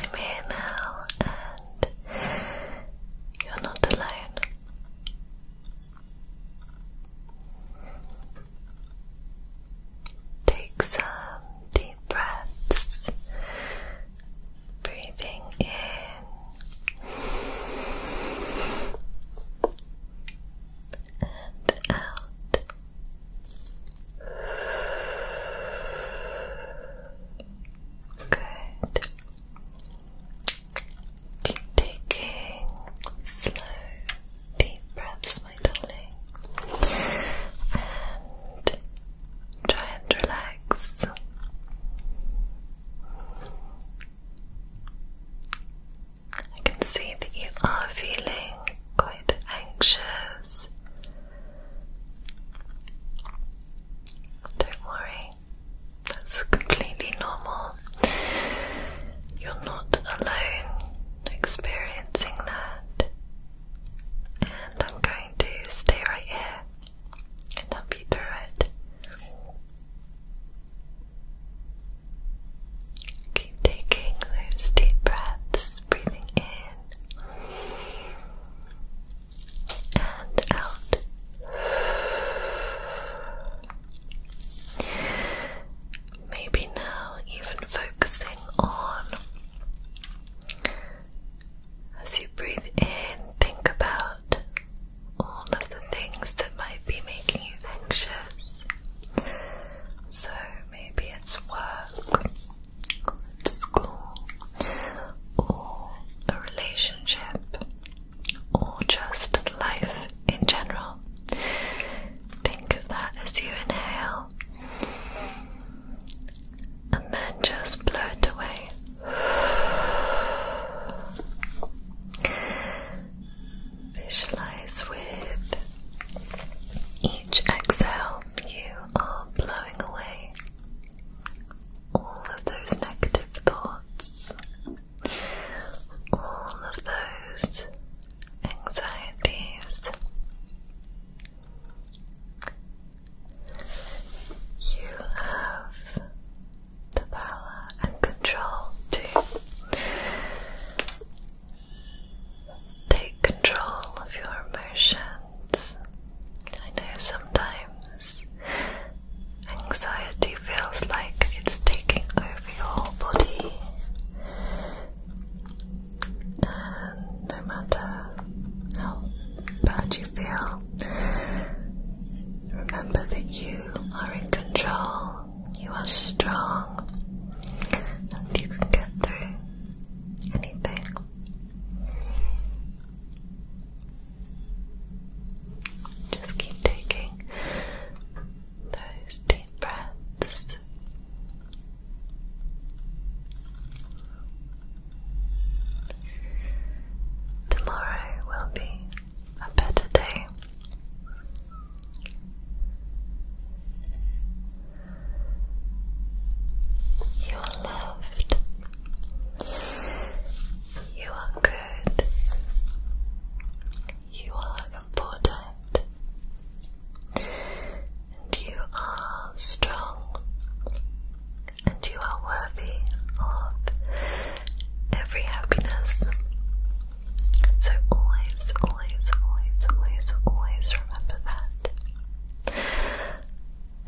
I'm here now, and you're not alone. Take some deep breaths, breathing in and out. Good. Keep taking slow, deep breaths, my darling, and try and relax. I can see that you are feeling quite anxious. Don't worry, that's completely normal. You're not alone experiencing that. And I'm going to stay right here and help you through it. Keep taking those deep breaths. Just breathing in and out. Maybe now, even focusing on as you breathe in, think about all of the things that might be making you anxious. So, maybe it's work, or school, or a relationship, or just life in general. Think of that as you inhale and then just blow it away. Visualize with each exhale, you are blowing away all of those negative thoughts, all of those anxieties. You have the power and control to Take control of your emotions. I know sometimes anxiety feels like it's taking over your whole body, and no matter how bad you feel, remember that you are in control, you are strong, and you can get through anything. Just keep taking those deep breaths. Tomorrow will be a better day. You are loved. You are good. You are important. And you are strong. And you are worthy of every happiness. So always, always, always, always, always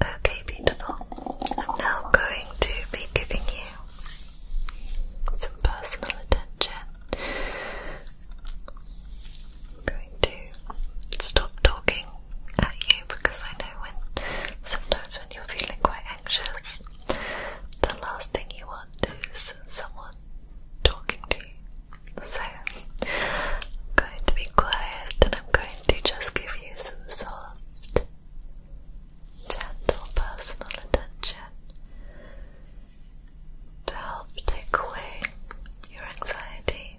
Okay, beautiful. I'm now going to be giving you some personal attention. I'm going to stop talking at you because I know when sometimes when you're feeling quite anxious, the last thing you want is someone talking to you. So, I'm going to be quiet and I'm going to just give you some soft, gentle personal attention to help take away your anxiety.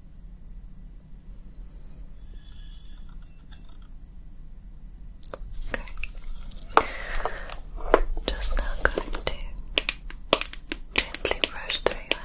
Okay. Just going to gently brush through your hair.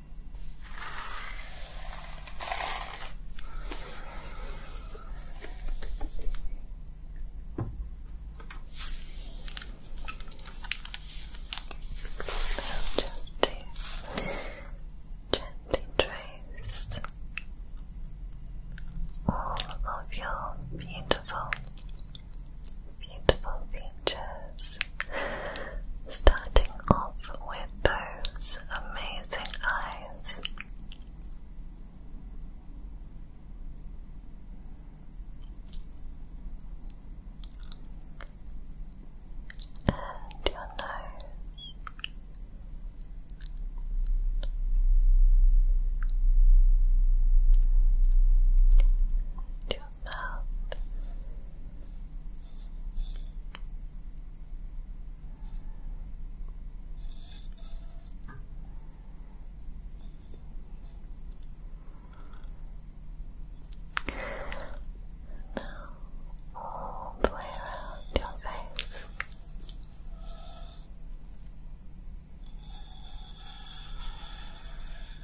just to gently trace all of your beautiful, beautiful features pictures, starting off with those amazing eyes. And your nose. your mouth. Now, all the way around your face.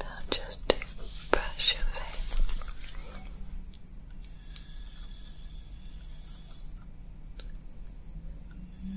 Now just brush your face. Now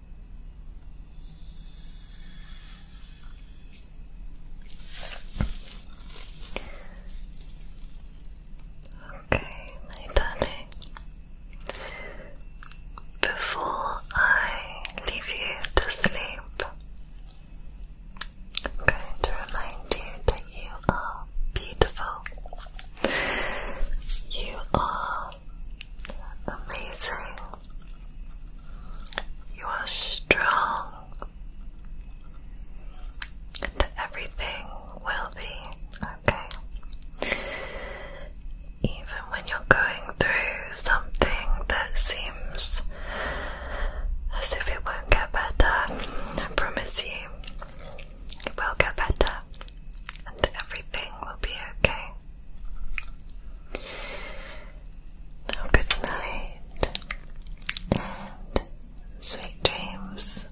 Okay, my darling. Before I leave you to sleep, I'm going to remind you that you are beautiful. You are Amazing. You are strong. And everything will be okay. Even when you're going through something that seems as if it won't get better, I promise you, it will get better and everything will be okay. Now, oh, good night and sweet dreams.